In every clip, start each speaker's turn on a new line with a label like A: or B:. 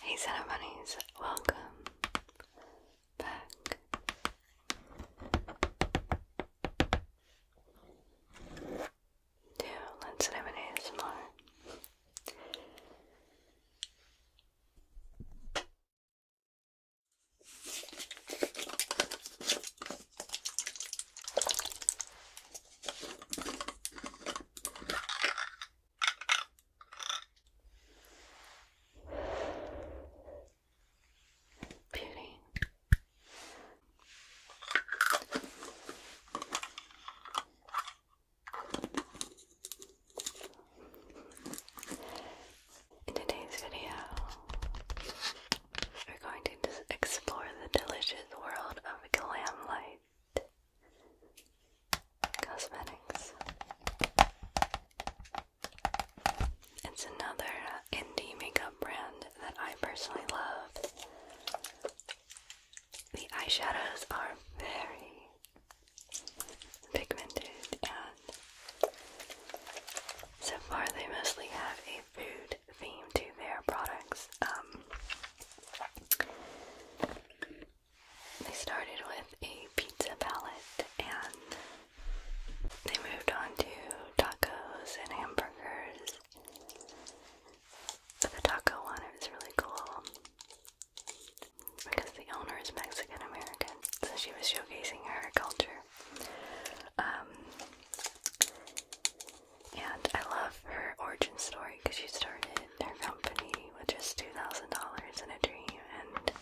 A: Hey Santa Bunnies, welcome back. To Let's Live an ASMR. Beauty. In today's video, we're going to explore the delicious world of glam light. Cosmetics. It's another indie makeup brand that I personally love. The eyeshadows are very pigmented, and so far they mostly have a food theme to their products. Um, they started with a pizza palette and they moved on to tacos and hamburgers. But the taco one was really cool because the owner is Mexican American, so she was showcasing her culture. Um, and I love her origin story because she started her company with just two thousand dollars in a dream, and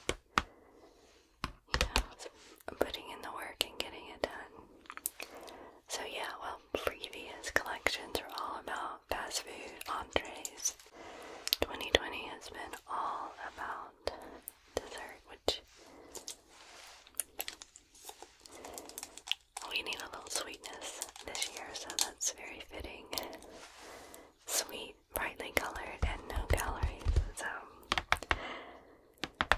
A: you know, putting in the work and getting it done. So yeah, well, previous collections are all about fast food entrees. 2020 has been all about dessert, which we need a little sweetness this year, so that's very fitting. Sweet, brightly colored, and no calories. So, um,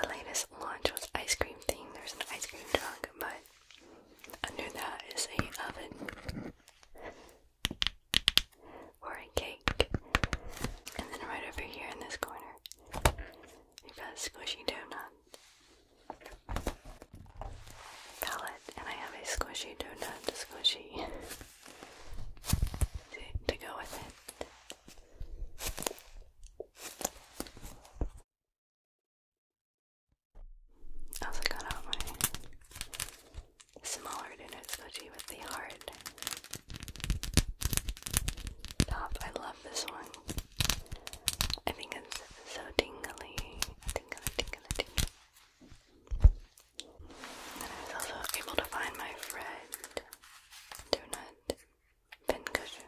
A: the latest launch was ice cream themed. There's an ice cream truck, but under that is a oven or a cake. And then right over here in this corner, you've got squishy donuts palette and I have a squishy donut squishy to go with it. also got out my smaller donut squishy with the heart top. I love this one. I think it's so tingly. Tingly, tingly, tingly. And I was also able to find my friend donut pincushion.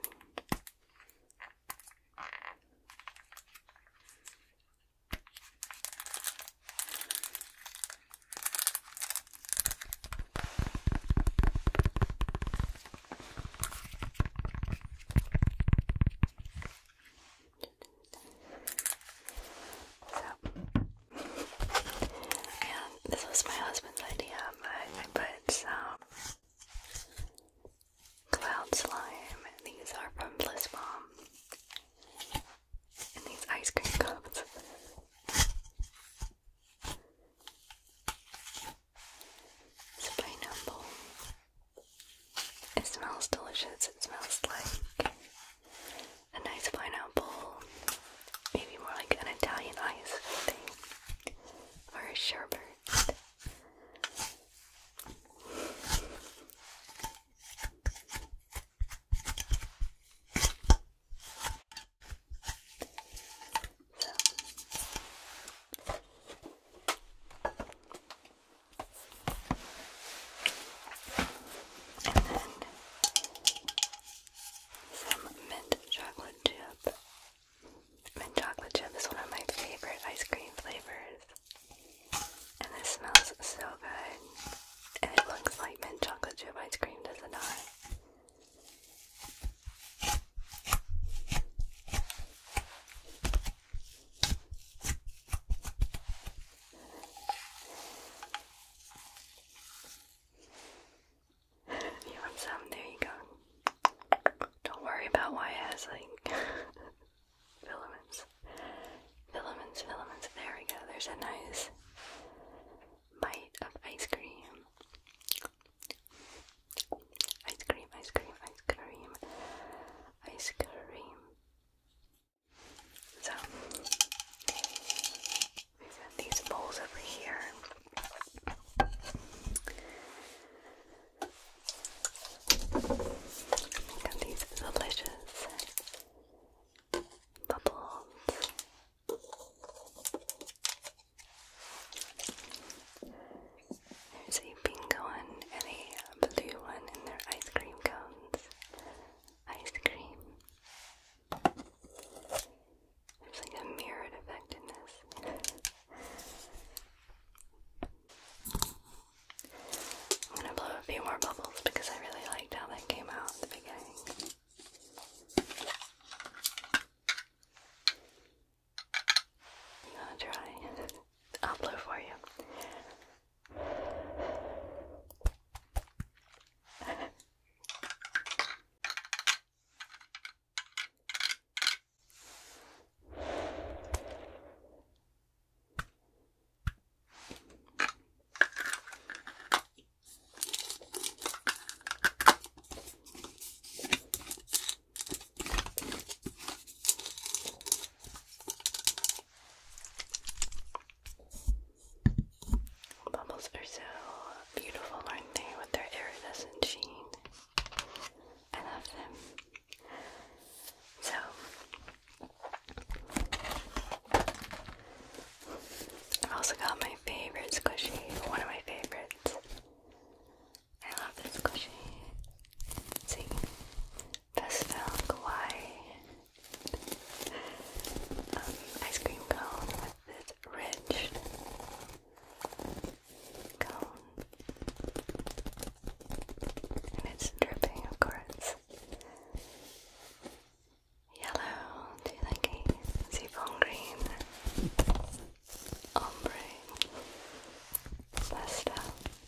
A: So, and this was my husband's idea, I put some cloud slime. These are from Bliss Bomb. And these ice cream cups. Spine apple. It smells delicious. It smells like a nice pineapple, maybe more like an Italian ice or a sherbet. And then some mint chocolate chip. Mint chocolate chip is one of my favorite ice cream flavors. And this smells so good. And it looks like mint chocolate chip ice cream, does not it you want some? There you go. Don't worry about why it has like filaments. Filaments, filaments. There we go. There's a nice bite of ice cream. Ice cream, ice cream, ice cream ice cream. So we got these bowls over here. we got these delicious bubbles. There's a pink one and a blue one, and they ice cream cones. Ice cream. There's like a mirrored effect in this. I'm gonna blow a few more bubbles because I really liked how that came out at the beginning. I'm to try. I'll blow for you. Bubbles are so beautiful, aren't they, with their iridescent sheen? I love them. So, I've also got my favorite squishy, one of my favorites. I love this squishy. See, best film um, ice cream cone with this ridge cone and it's dripping of course yellow, do you like green ombre pastel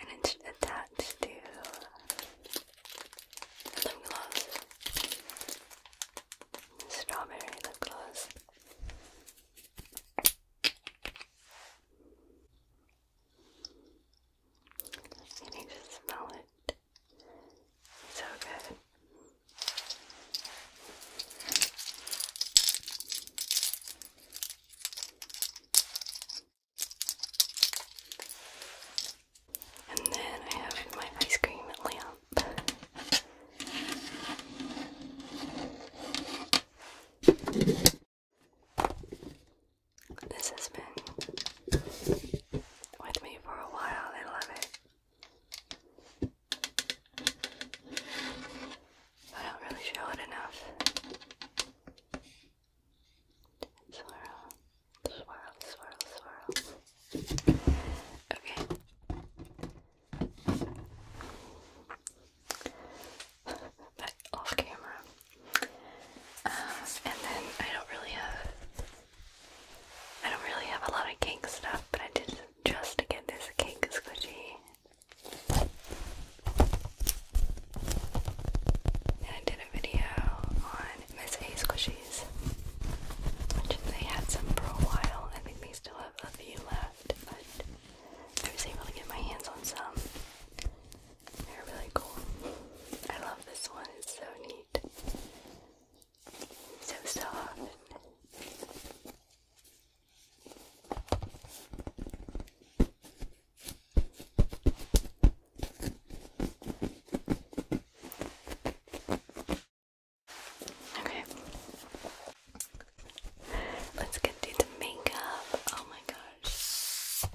A: and it's attached to a lip gloss, strawberry lip gloss. You need to smell it. So good. And then I have my ice cream lamp. This has been with me for a while. I love it. I don't really show it enough. Swirl, swirl, swirl, swirl. Okay. off camera. Um, and then I don't really have I don't really have a lot of cake stuff, but I did just get this cake squishy. I did a video on Miss A Squishies, which they had some for a while. I think they still have a few left, but I was able to get my hands on some. They're really cool. I love this one, it's so neat. So soft. Okay. Let's get to the makeup. Oh my gosh. The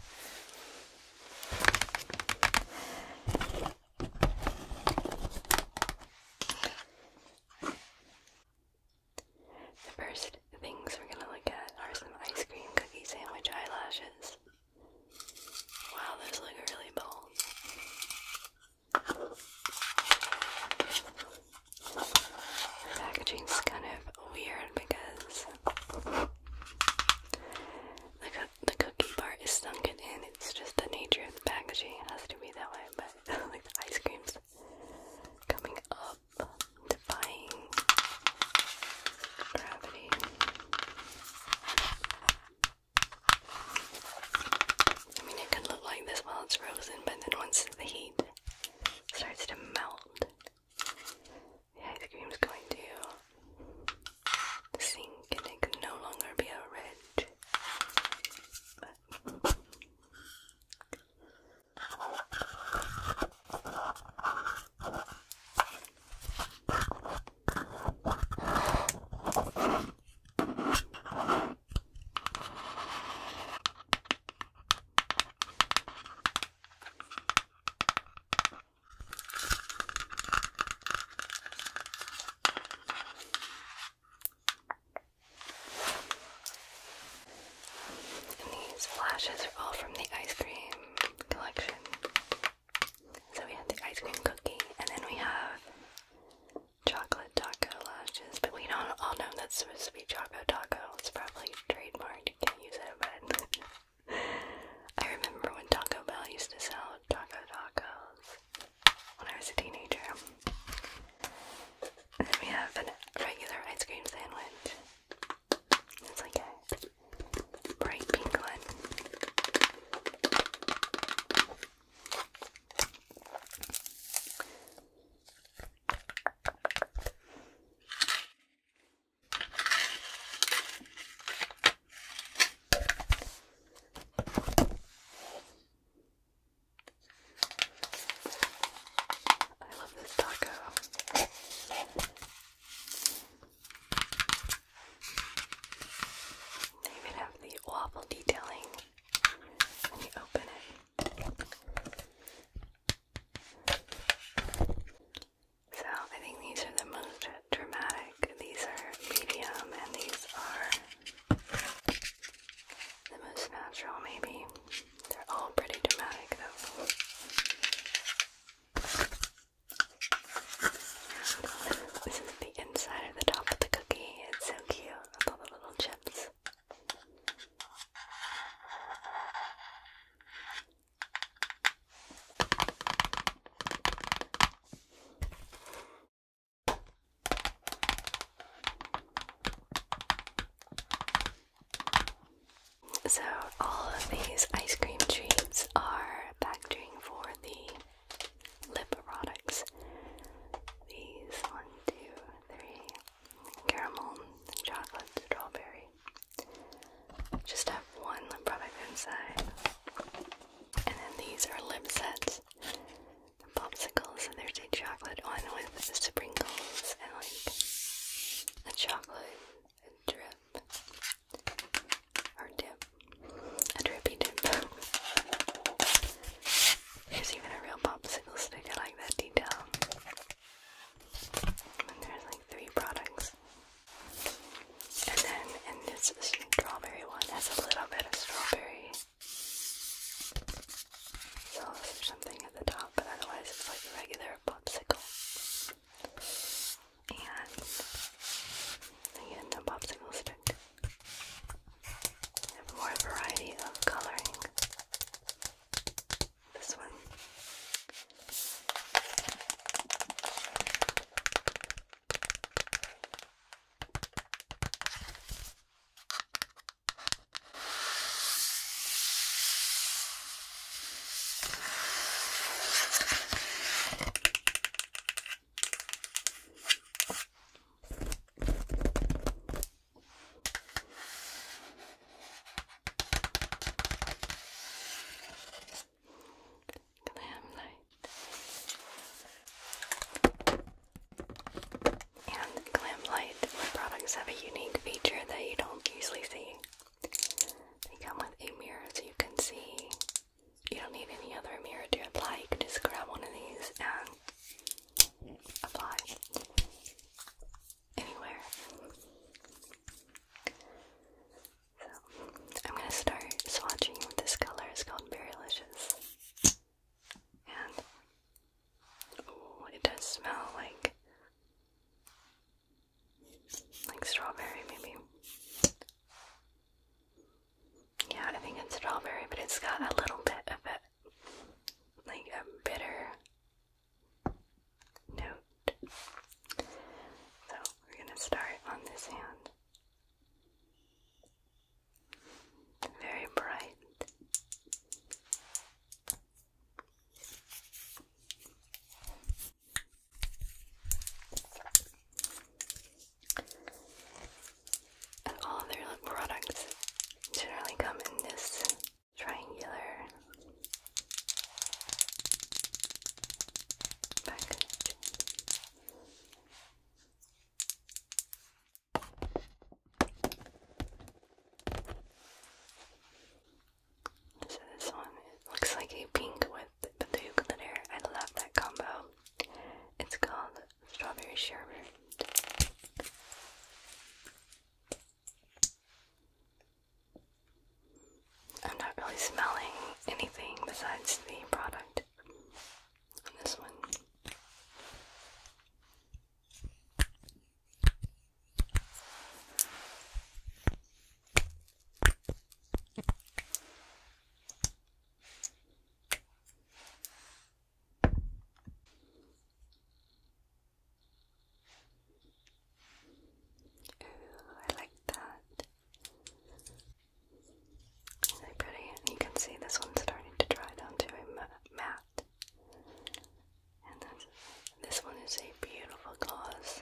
A: first things we're going to look at are some ice cream cookie sandwich eyelashes. Wow, those look really bold. The packaging's kind of weird because the, the cookie part is sunken in. It's just the nature of the packaging. It has to be that way, but like the ice cream's coming up, defying gravity. I mean, it could look like this while it's frozen, but then once the heat starts to melt, the ice cream is going to sink and it can no longer be a ridge. these flashes are all from the ice cream collection. So we have the ice cream cookie, and then we have chocolate taco lashes, but we don't all know that's supposed to be choco taco. It's probably trademarked, you can't use it, but I remember when Taco Bell used to sell taco tacos when I was a teenager. And then we have a regular ice cream sandwich. It's like a bright pink one. I love this taco. They even have the waffle detailing when you open it. So I think these are the most dramatic. These are medium and these are the most natural maybe. They're all pretty dramatic though. This is the inside of the top of the cookie. It's so cute with all the little chips. So, all of these ice cream treats are packaging for the lip products. These one, two, three, caramel, chocolate, strawberry. Just have one lip product inside. And then these are lip sets. popsicles, and there's a chocolate one with sprinkles and like a chocolate a drip or dip, a drippy dip. There's even a real popsicle stick. I like that detail. And there's like three products. And then, and this strawberry one has a little bit of strawberry sauce or something at the top, but otherwise it's like a regular popsicle and again a popsicle stick. more variety of coloring. This one. And Glam Light products have a unique feature that you don't usually see. They come with a mirror so you can see you don't need any other mirror to apply. You can just grab one of these and apply anywhere. So, I'm gonna start swatching with this color. It's called Berrylicious. And, it does smell like like strawberry, maybe. Yeah, I think it's strawberry, but it's got a little bit of a like a bitter note. So we're gonna start on this hand. Very bright. And all their products generally come in this triangular package. So this one looks like a pink with I love that combo. It's called Strawberry Sherbet. I'm not really smelling anything besides the product this one. I like that. It's pretty, and you can see this one's starting to dry down to a matte. And this, this one is a beautiful gloss.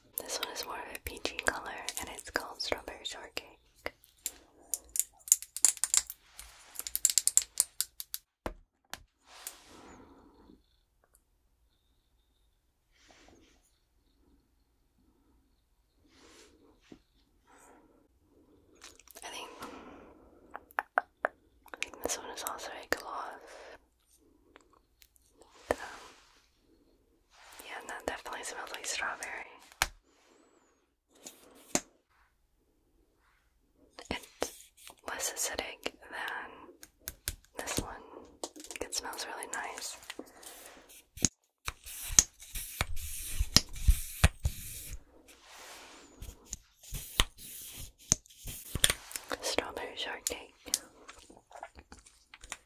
A: This one is more of a peachy color and it's called Strawberry Shortcake. I think this one is also a gloss. Um, yeah, that definitely smells like strawberry. It's less acidic than this one. It smells really nice. Strawberry shortcake.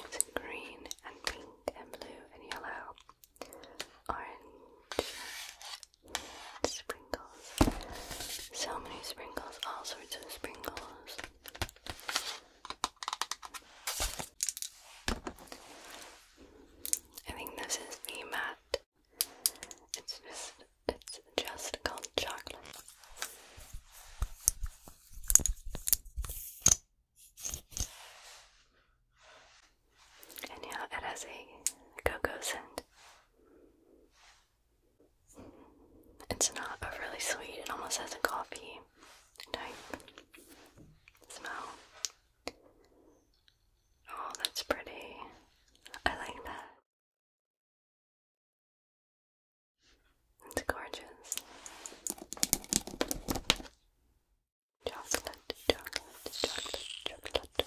A: It's green and pink and blue and yellow, orange, spring sprinkles. So many sprinkles, all sorts of sprinkles. I think this is the It's just it's just called chocolate. And yeah, it has a cocoa scent. It's not overly sweet, it almost has a coffee type smell. Oh, that's pretty. I like that. It's gorgeous. Chocolate, chocolate, chocolate, chocolate.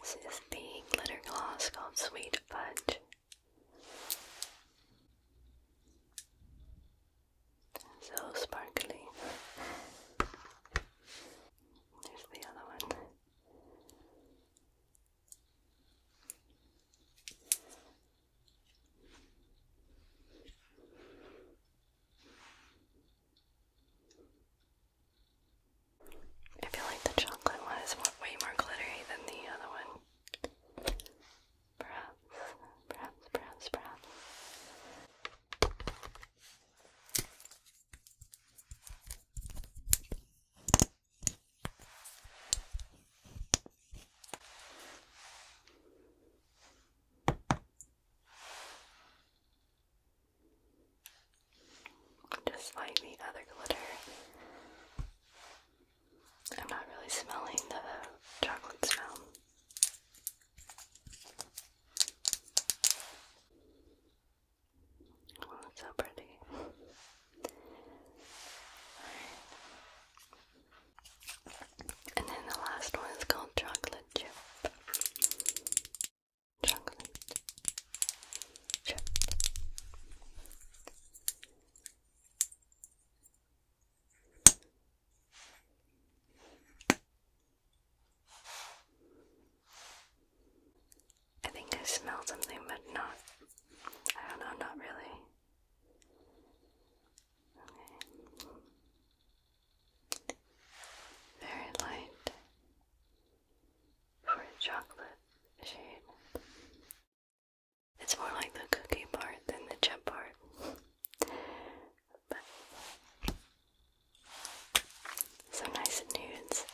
A: This is the glitter gloss called Sweet Fudge. So sparkly. There's the other one. I feel like the chocolate one is way more glittery than the other one. Perhaps, perhaps, perhaps, perhaps. Just like the other glitter. I'm not really smelling the chocolate smell. so pretty. And then the last one is called chocolate chip. Chocolate chip. I think I smell something, but not. I don't know, not really. Okay very light for a chocolate shade. It's more like the cookie part than the chip part. but some nice nudes.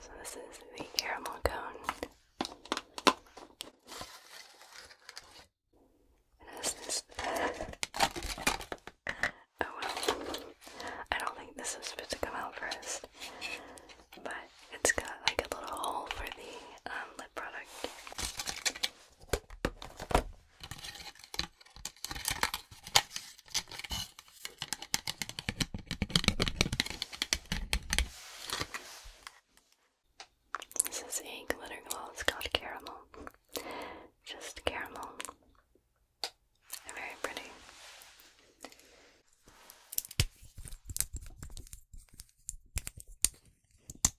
A: So this is the caramel cone. oh well. I don't think this is supposed to come out first. But it's got like a little hole for the um, lip product. This is a glitter glow. It's called caramel. Just caramel. Very pretty.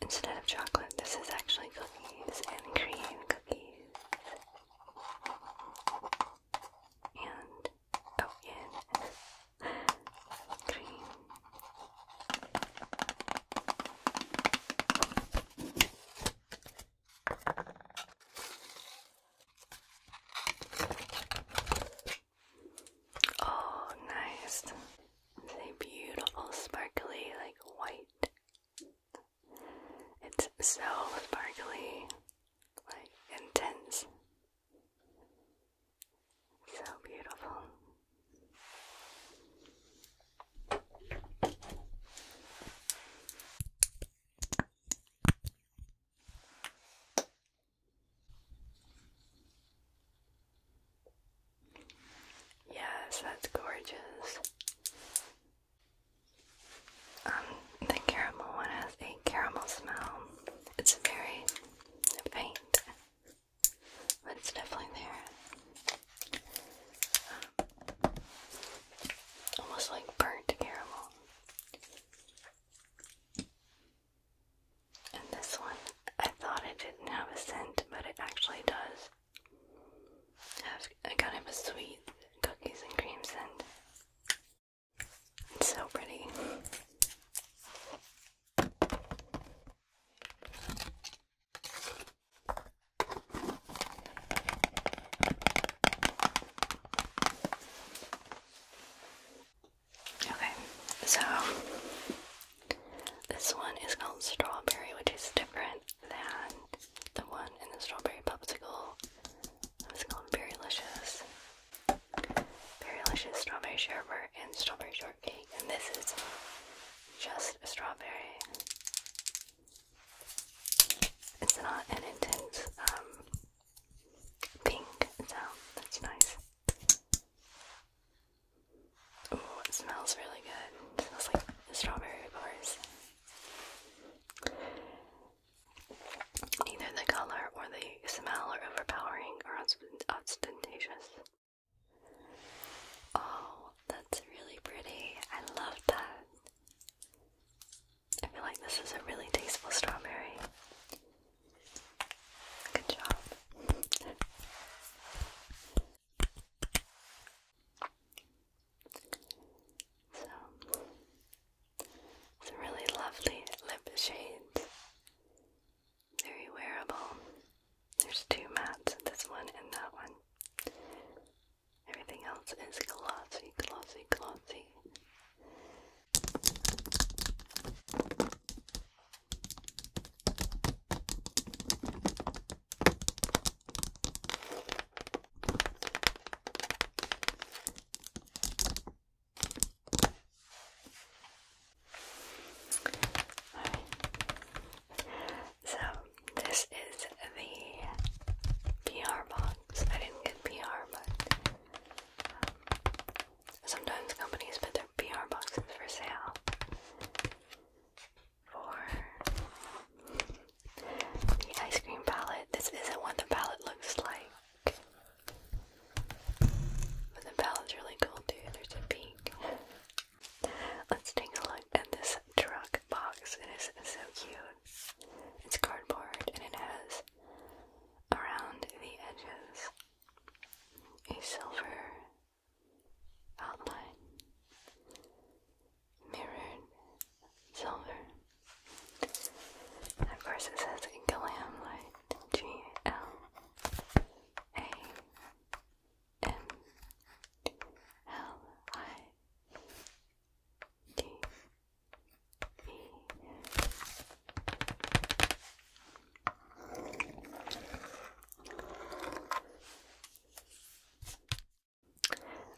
A: Instead of chocolate, this is actually cookies and cream cookies. And oh, and cream. Oh, nice. It's a beautiful, sparkly, like white. It's so sparkly, like intense. So beautiful. Yes, that's gorgeous. Um, the caramel one has a caramel smell. It's very faint, but it's definitely there almost like burnt caramel. And this one, I thought it didn't have a scent, but it actually does have a kind of a sweet cookies and cream scent. so pretty. Okay, so this one is called strawberry, which is different than the one in the strawberry popsicle. It's called very delicious strawberry sherbet and strawberry shortcake, and this is just a strawberry. It's not uh, an intense um, pink, so that's nice. Oh, it smells really good. It smells like strawberry bars. Neither the color or the smell are overpowering or ostentatious. Oh, that's really pretty. I love that. I feel like this is a really tasteful strawberry. Good job. so, it's really lovely lip shade. Very wearable. There's two mats, this one and that one. Everything else is classy, classy, classy. So this is the PR box. I didn't get PR, but um, sometimes companies put their PR boxes for sale for the ice cream palette. This isn't what the palette looks like, but the palette's really cool too. There's a pink. Let's take a look at this truck box. It is so cute. It's cardboard and it has around the edges a silver outline, mirrored silver. of course, it says Glam Light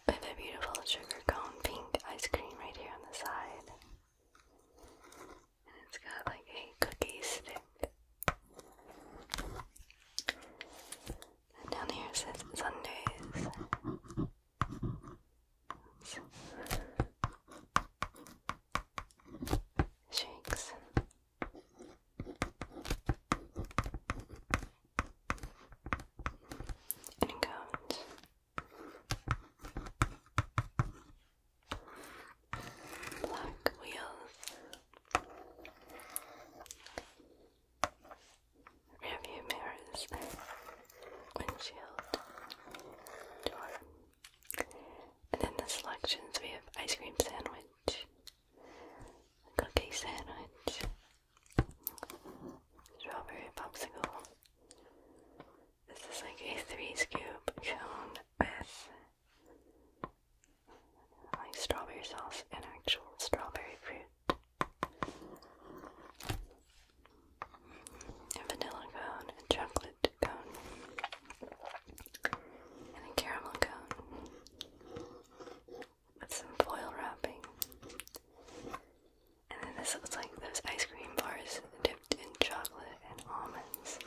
A: I have a beautiful sugar cone pink ice cream right here on the side. And it's got like a cookie stick. And down here it says Sundays shakes. And count. Black wheels rearview mirrors, windshield, door. And then the selections we have ice cream sandwich, cookie sandwich, strawberry popsicle. This is like a three scoop cone with like strawberry sauce and actual strawberry fruit vanilla cone, a chocolate cone, and caramel cone with some foil wrapping. And then this looks like those ice cream bars dipped in chocolate and almonds.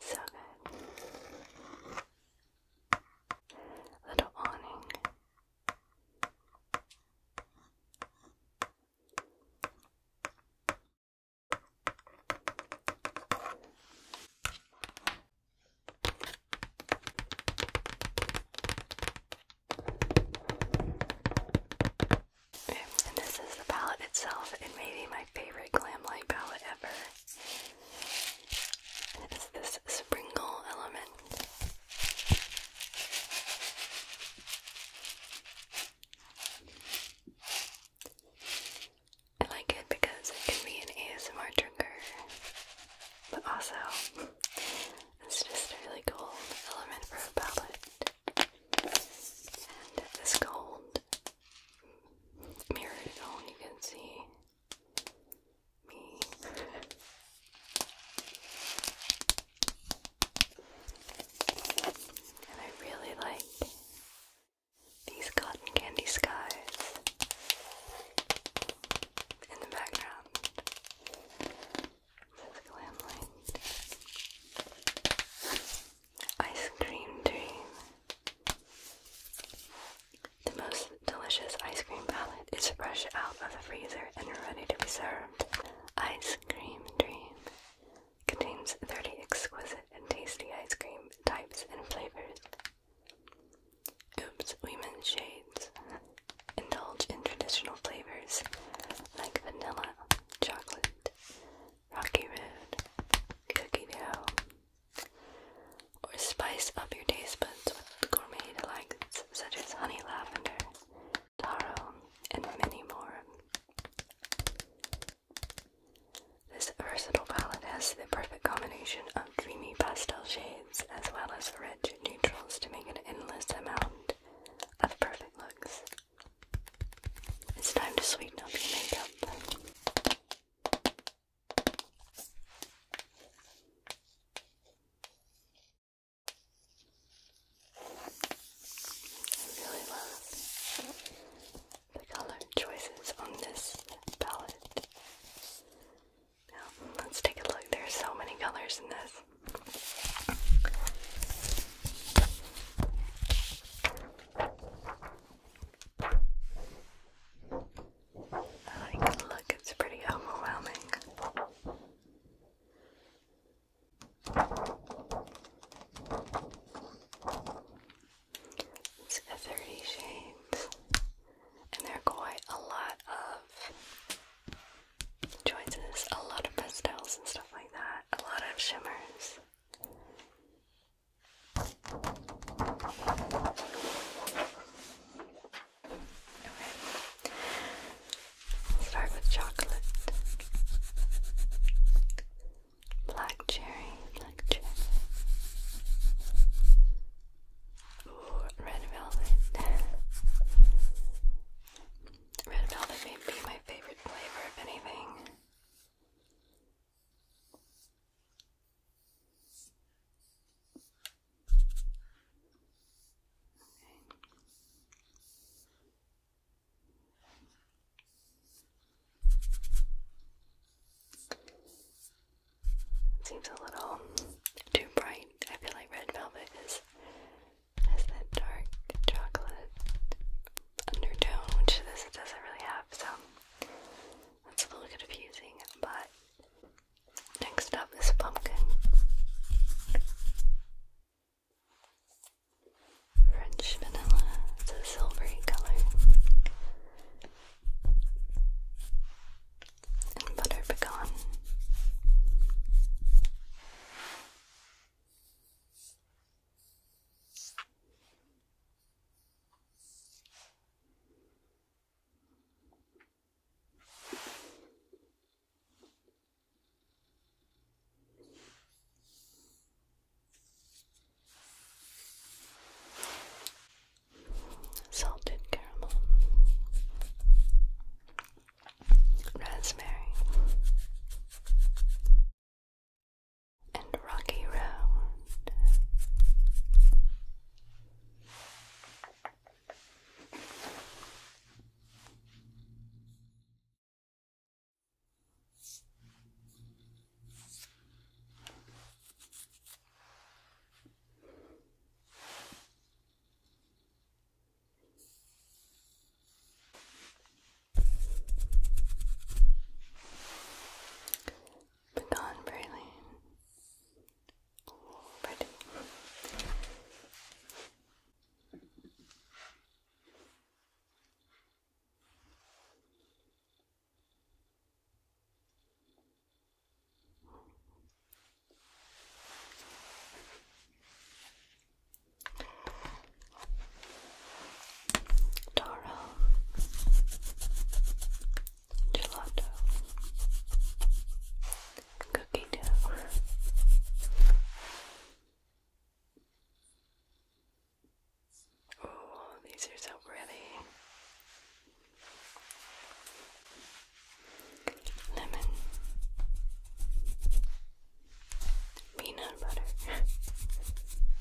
A: So good. Little awning this is the palette itself. It may be my favorite glam light palette ever. And it is this sprinkle element I like it because it can be an ASMR trigger, but also it's just a really cool element for a palette. And this gold mirrored it you can see me. I really like these cotton candy skies in the background. This glam light. Ice cream dream. The most delicious ice cream palette it's fresh out of the freezer and ready to be served. Ice Cream Dream contains 30 exquisite and tasty ice cream types and flavors. Oops, women's shades. Indulge in traditional flavors like vanilla, chocolate, rocky road, cookie dough, or spice up your taste buds with gourmet delights such as honey lavender, tarot, and many more. This versatile palette has the perfect combination of dreamy pastel shades as well as rich neutrals to make an endless amount of perfect looks. It's time to sweeten up your makeup really love the color choices on this palette. Now, let's take a look. There's so many colors in this. like look, it's pretty overwhelming. It's a 30 shades, and there are quite a lot of choices, a lot of pastels and stuff like that, a lot of shimmers. Okay. Start with chocolate. Black cherry, black cherry. Ooh, red velvet. Red velvet may be my favorite flavor, if anything. Seems a little too bright. I feel like red velvet is has that dark chocolate undertone, which this doesn't really have. So that's a little confusing. But next up is pumpkin. French vanilla. It's a silvery color. And butter pecan salted caramel, raspberry, and rocky round. Begone, Braylon. Oh, pretty. Toro Gelato Cookie dough Oh, these are so pretty. Lemon. Peanut butter.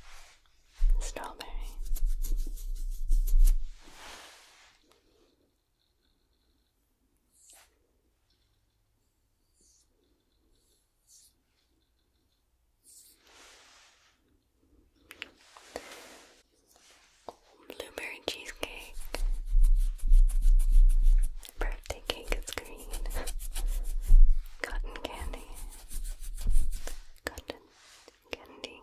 A: Strawberry. Blueberry cheesecake. Birthday cake is green. Cotton candy. Cotton candy.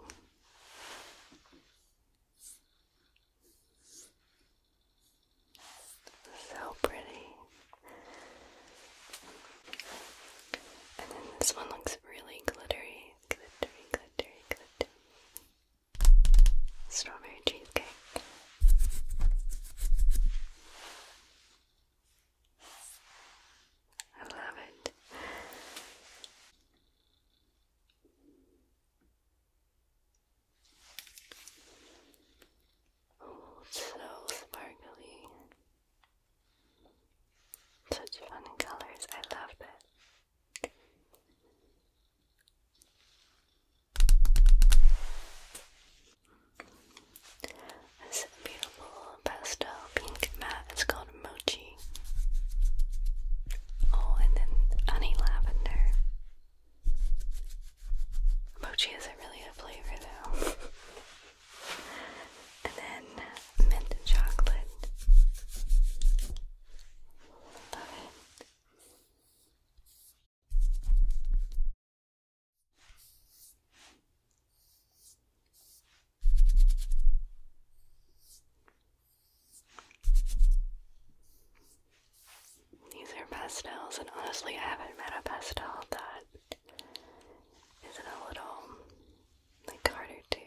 A: So pretty. And then this one looks really glittery, glittery, glittery, glittery. Strawberry cheesecake. I love it. So sparkly. Such fun colors. I love it. This beautiful pastel pink mat is called Mochi. Oh, and then honey lavender. Mochi isn't really a flavor though. and then mint chocolate. Love it. These are pastels, and honestly, I haven't met a pastel that isn't a little like harder to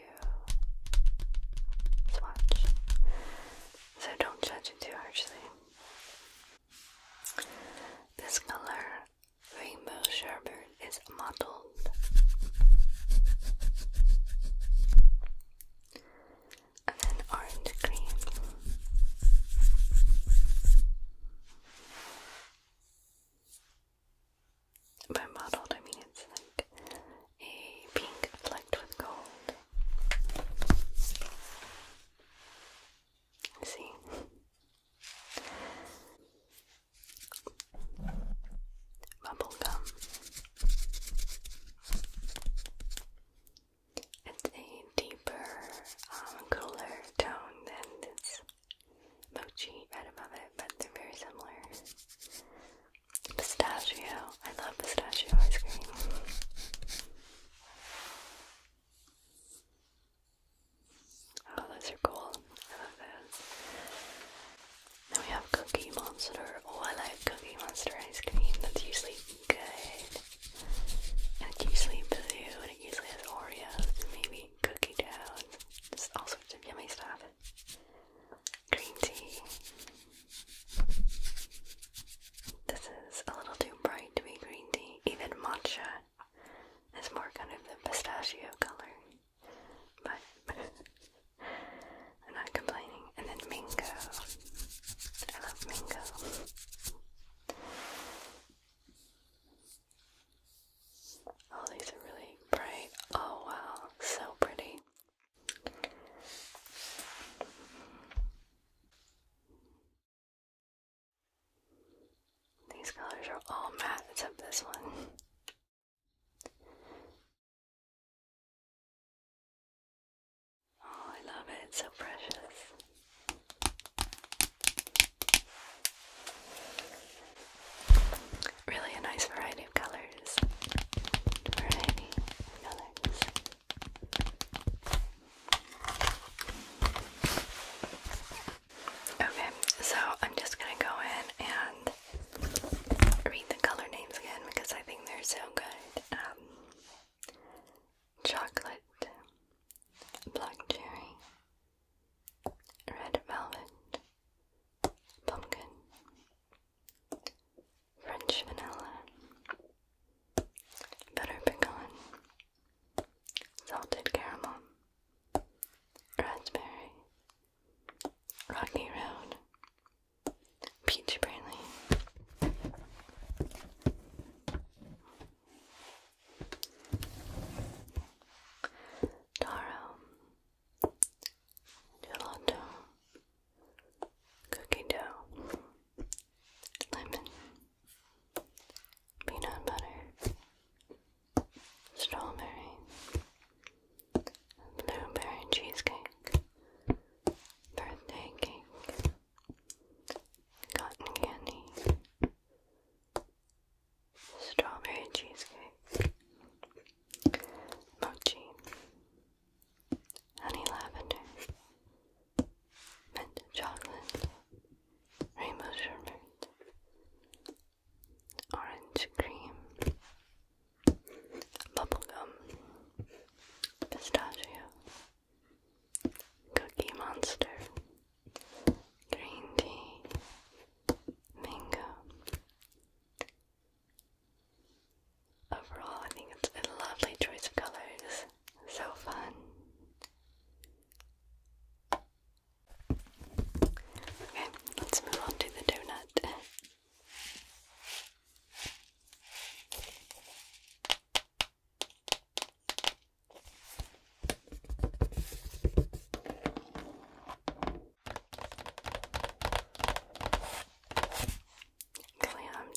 A: swatch. So don't judge it too harshly. This color, Rainbow Sherbet, is mottled. And then orange cream. By mottled, I mean it's like a pink flecked with gold. See? Bubblegum. It's a deeper, um, cooler tone than this mochi right above it, but they're very similar. Pistachio. I love pistachio ice cream. Oh, those are cool. I love those. Then we have Cookie Monster. Oh, I like Cookie Monster ice cream. That's usually Good. And usually blue and it usually has Oreos maybe cookie dough just all sorts of yummy stuff. Green tea. This is a little too bright to be green tea. Even matcha is more kind of the pistachio color. But I'm not complaining. And then mango. I love mango. Oh, these are really bright. Oh, wow, so pretty. These colors are all matte except this one. Oh, I love it, so precious. Really a nice variety of colors. Okay, so I'm just gonna go in and read the color names again because I think they're so good. Um, chocolate, black cherry, red velvet, pumpkin, French vanilla, butter pecan, salted caramel, raspberry, rocky road, peach brandy. Taro, gelato, cookie dough, lemon, peanut butter, strawberry, blueberry cheesecake, birthday cake, cotton candy strawberry cheesecake, mochi, honey lavender, mint chocolate, rainbow sherbet, orange cream, bubblegum, pistachio. Cookie Monster, Green Tea, Mango. Overall, I think it's a lovely choice of colors. So fun. Okay, let's move on to the donut. Glam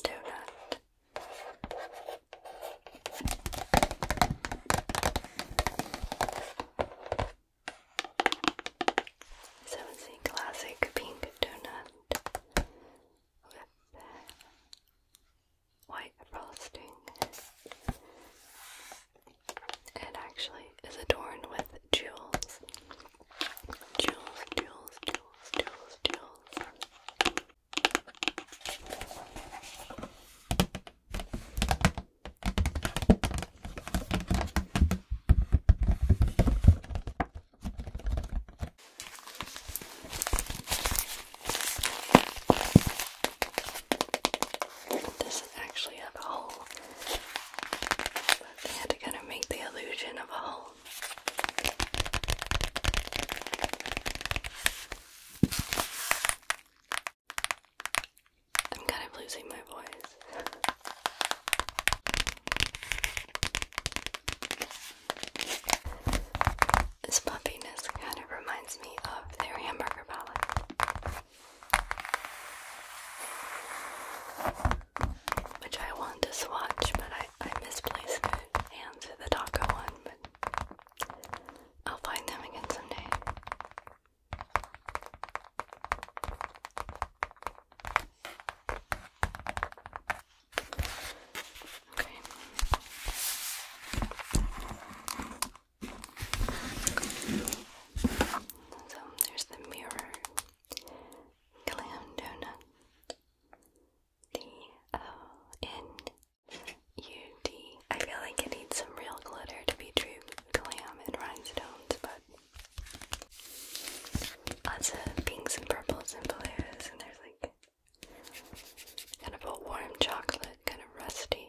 A: donut. So classic pink donut white frosting. It actually is adorned with jewels. Jewels, jewels, jewels, jewels, jewels doesn't actually have a hole, but they had to kind of make the illusion of a hole. I'm kind of losing my voice. This puffiness kind of reminds me of their hamburger palette, which I want to swatch, but I, misplaced it and the taco one, I'll find them again someday. Okay. So there's the mirror, clam donut, D O uh, N U D. I feel like it needs some real glitter to be true Clam and rhinestones, but lots of pinks and purples and blues, and there's like kind of a warm chocolate, kind of rusty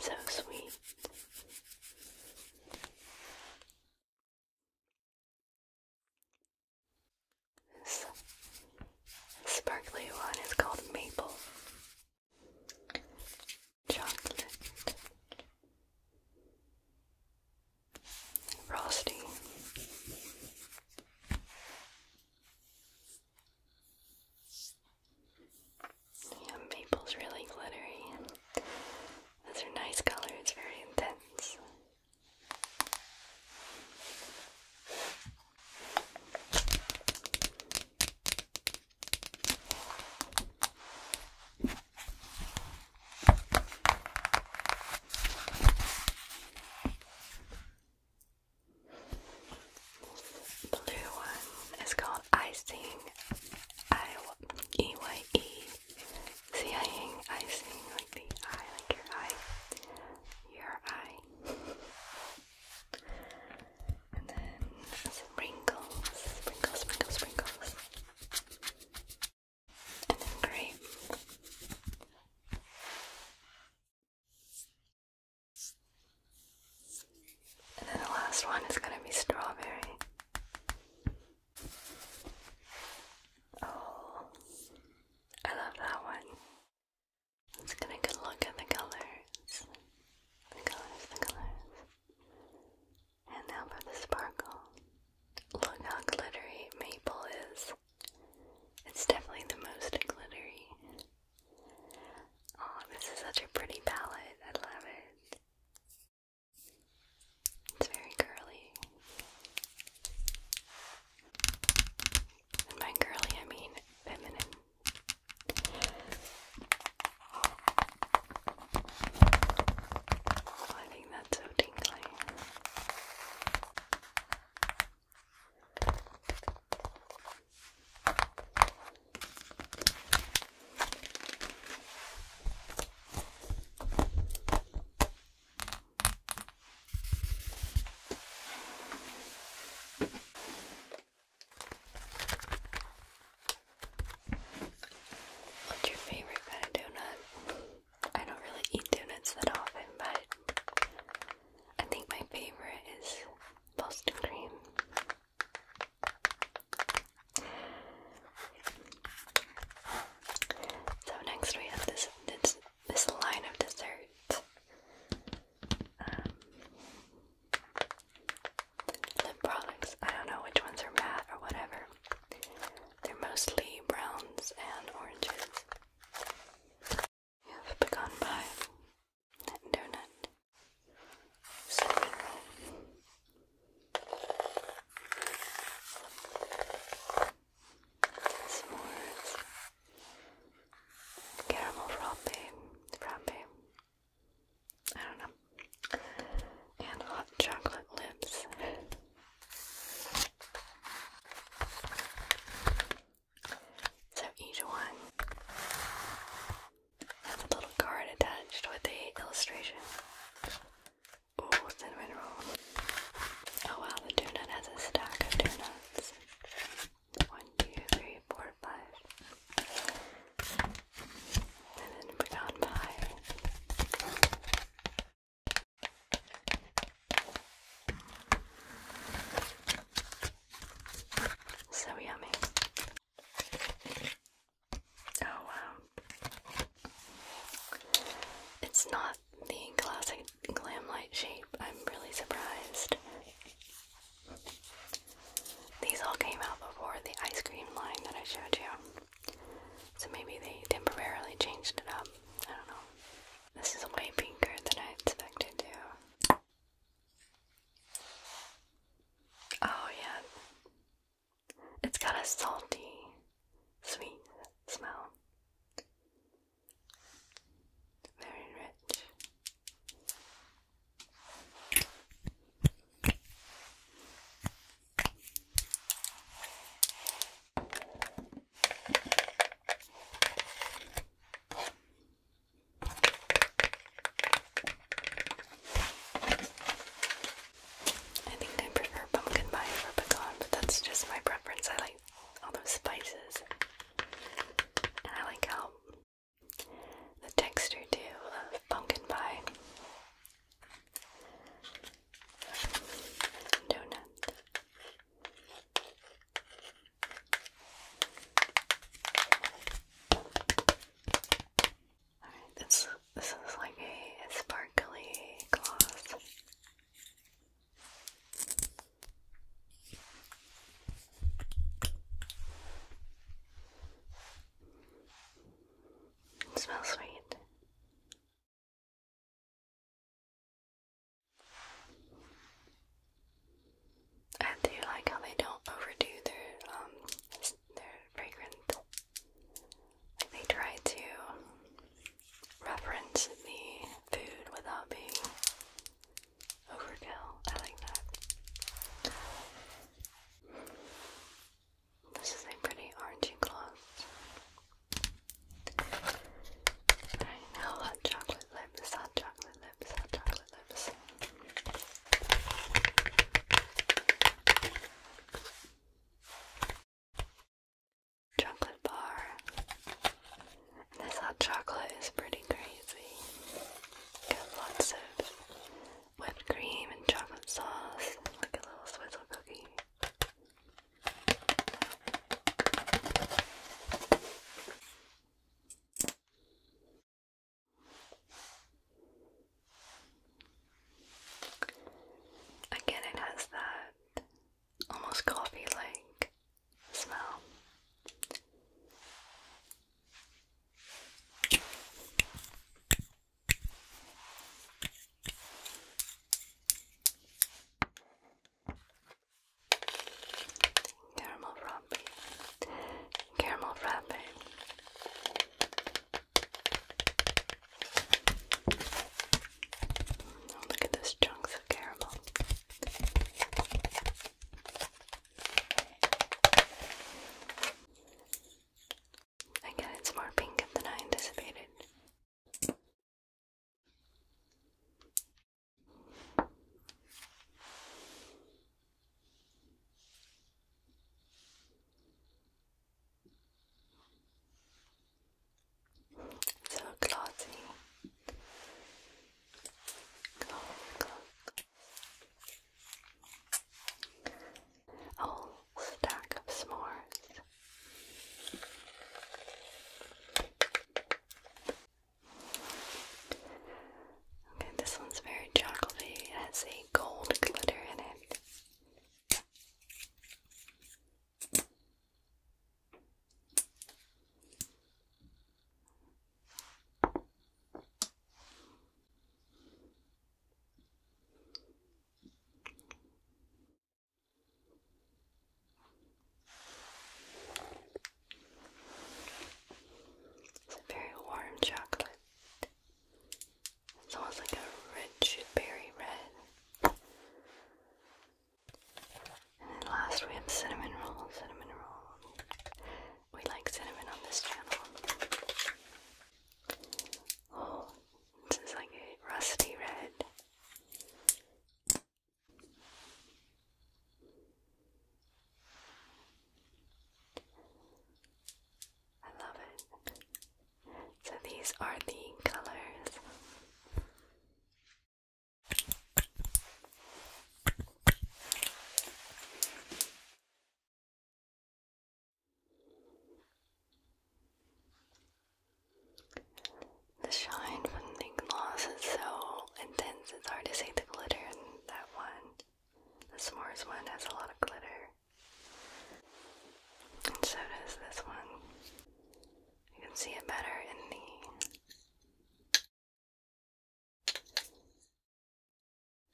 A: So sweet. This sparkly one is called Maple Chocolate Frosty. Yeah, maple's really glittery. Those are nice colors, very intense. Blue one is called icing. I E Y E. icing like the eye, like your eye, your eye. And then sprinkles, sprinkles, sprinkles, sprinkles. And then grape. And then the last one is going to be strawberry. Oh, I love that one. Let's get a good look at the colors. The colors, the colors. And now for the sparkle. Look how glittery maple is. It's definitely the most glittery. Oh, this is such a pretty palette. I love it. It's very curly. by curly, I mean feminine. Oh, I think that's so tingly. What's your favorite kind of donut? I don't really eat donuts that often, but I think my favorite is Boston cream. So next we have this this, this line of dessert. Um, lip products. I don't know which ones are matte or whatever. They're mostly browns and oranges. You have pecan pie, donut S'mores, caramel frappe, frappe, I don't know, and hot chocolate lips. So each one have a little card attached with the illustration. Ooh, cinnamon roll. Oh wow, the donut has a stack of donuts. One, two, three, four, five. And then pecan pie. So yummy. Oh wow. It's not the classic glam light shape. I'm really surprised. These all came out before the ice cream line that I showed you. So maybe they temporarily changed it up. I don't know. This is way pinker than I expected to. Oh, yeah. It's got a salty, sweet smell. Very rich. I think I prefer pumpkin pie over pecan, that's just my preference. I like all those spices. I like how the texture too of pumpkin pie. Donut this, this is like a sparkly gloss. It smells sweet. I do like how they don't overdo their um their fragrance. Like they try to reference the food without being overkill. I like that. This is a pretty orangey gloss. Alright, hot chocolate lip. hot chocolate lip chocolate lips. This hot chocolate is pretty crazy. Got lots of whipped cream and chocolate sauce, like a little swizzle cookie. Again, it has that almost coffee like smell. Caramel frothy caramel wrapping. Oh, look at those chunks of caramel. Again, it's more pink than I anticipated. So glossy. Glossy, glossy. A whole stack of s'mores. Okay, this one's very chocolatey. It has a gold glitter in it. It's a very warm chocolate. It's almost like a rich berry red. And then last we have cinnamon roll, cinnamon roll. We like cinnamon on this channel. Oh, this is like a rusty red. I love it. So these are the colors. The shine from the gloss is so intense, it's hard to see the glitter that one. The s'mores one has a lot of glitter. And so does this one. You can see it better in the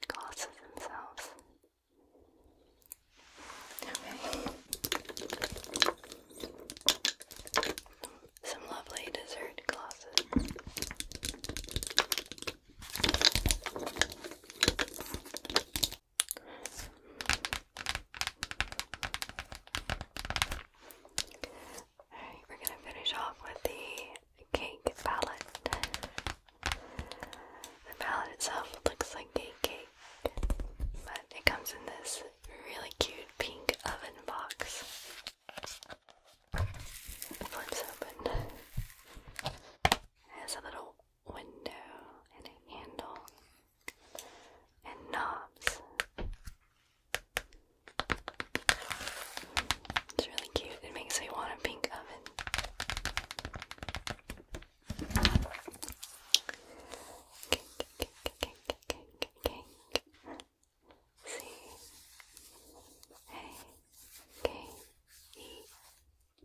A: glosses themselves. Okay. Some lovely dessert glosses. Alright, we're gonna finish off with the cake palette. The palette itself looks like a cake, but it comes in this really cute pink oven box. It flips open has a little window and handle and knobs. It's really cute. It makes me want a pink oven.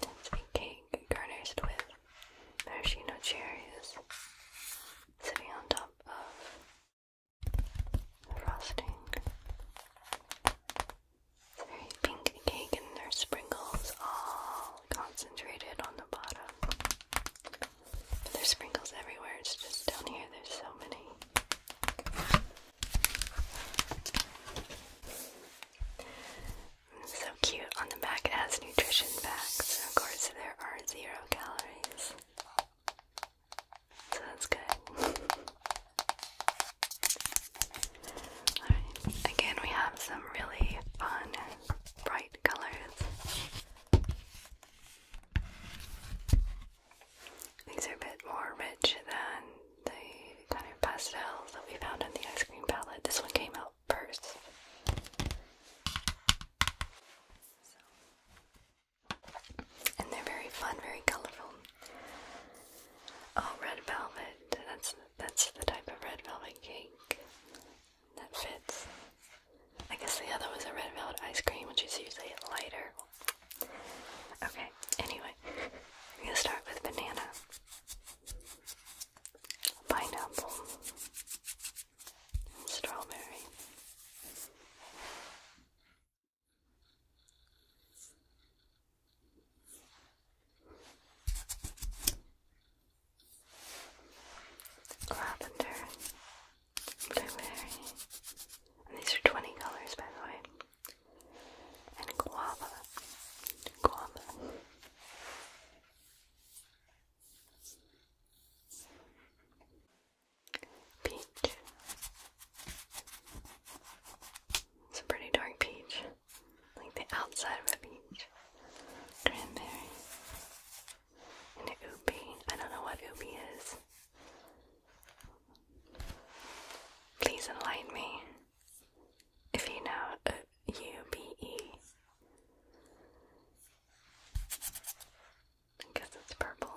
A: Dancing cake garnished with maraschino cherries sitting on top of frosting. very pink cake and there's sprinkles all concentrated on the bottom there's sprinkles everywhere, it's just down here, there's so many. so cute. On the back, it has nutrition facts. Of course, there are zero calories. So that's good. Alright, again, we have some really fun bright colors. These are a bit more rich than the kind of pastels that we found in the ice cream palette. This one came out first. And they're very fun, very colorful. Oh, red velvet. That's that's the type of red velvet cake that fits. I guess the other was a red velvet ice cream, which is usually lighter. Okay, anyway, we're gonna start with banana, pineapple, strawberry lavender, blueberry, these are 20 colors by the way, and guava, guava. Peach. It's a pretty dark peach, like the outside of a peach. Cranberry, into Ubi. I don't know what Ubi is. Please enlighten me if you know uh, UBE. I guess it's purple.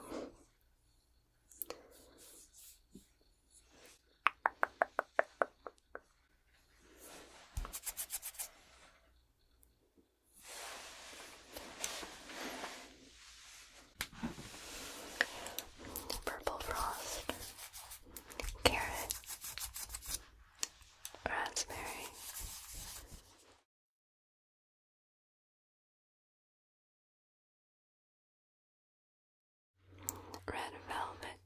A: Purple frost, carrot, raspberry. Red velvet,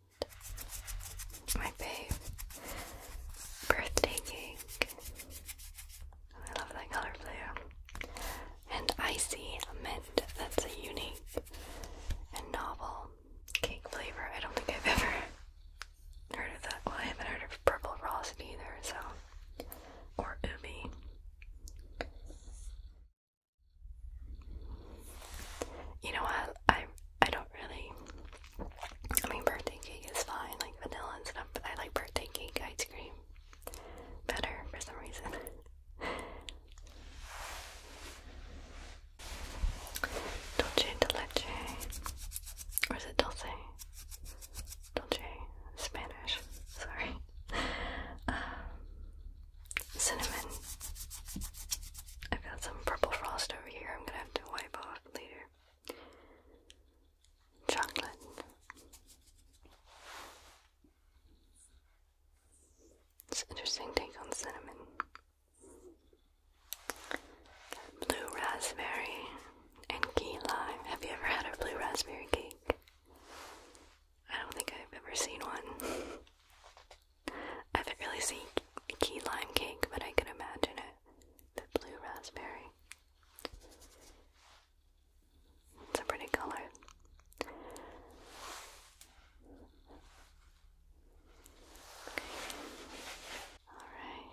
A: babe. Birthday cake. I love that color blue. And icy mint. That's a unique and novel cake flavor. I don't think I've ever heard of that. Well, I haven't heard of purple frost either, so. Or ubi. You know what? I am I don't really. I mean, birthday cake is fine, like vanilla and stuff, I like birthday cake ice cream better for some reason. Dolce de leche. Or is it dulce? Dolce. Spanish. Sorry. Um, cinnamon. I've got some purple frost over here I'm gonna have to wipe off later chocolate. It's interesting take on cinnamon. Blue raspberry and key lime. Have you ever had a blue raspberry cake? I don't think I've ever seen one. I haven't really seen key lime cake, but I can imagine it the blue raspberry. It's a pretty color. Alright.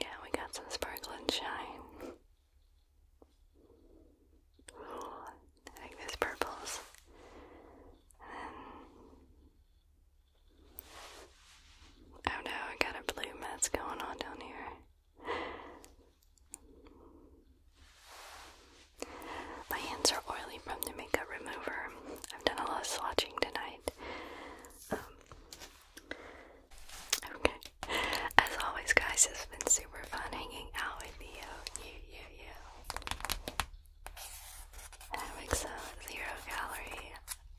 A: Yeah, we got some sparkle and shine. I like this purples. Oh no, I got a blue mess going on down here. My hands are oily from the makeup remover. I've done a lot of swatching tonight. Um, okay. As always, guys, it's been super fun hanging out with you. You, I'm Zero Gallery.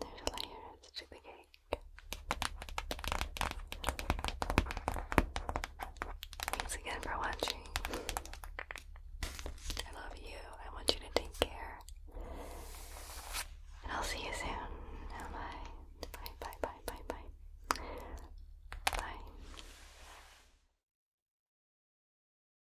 A: There's layers to the cake. Thanks again for watching. I love you. I want you to take care. And I'll see you soon. Bye. Bye, bye, bye, bye, bye. Bye.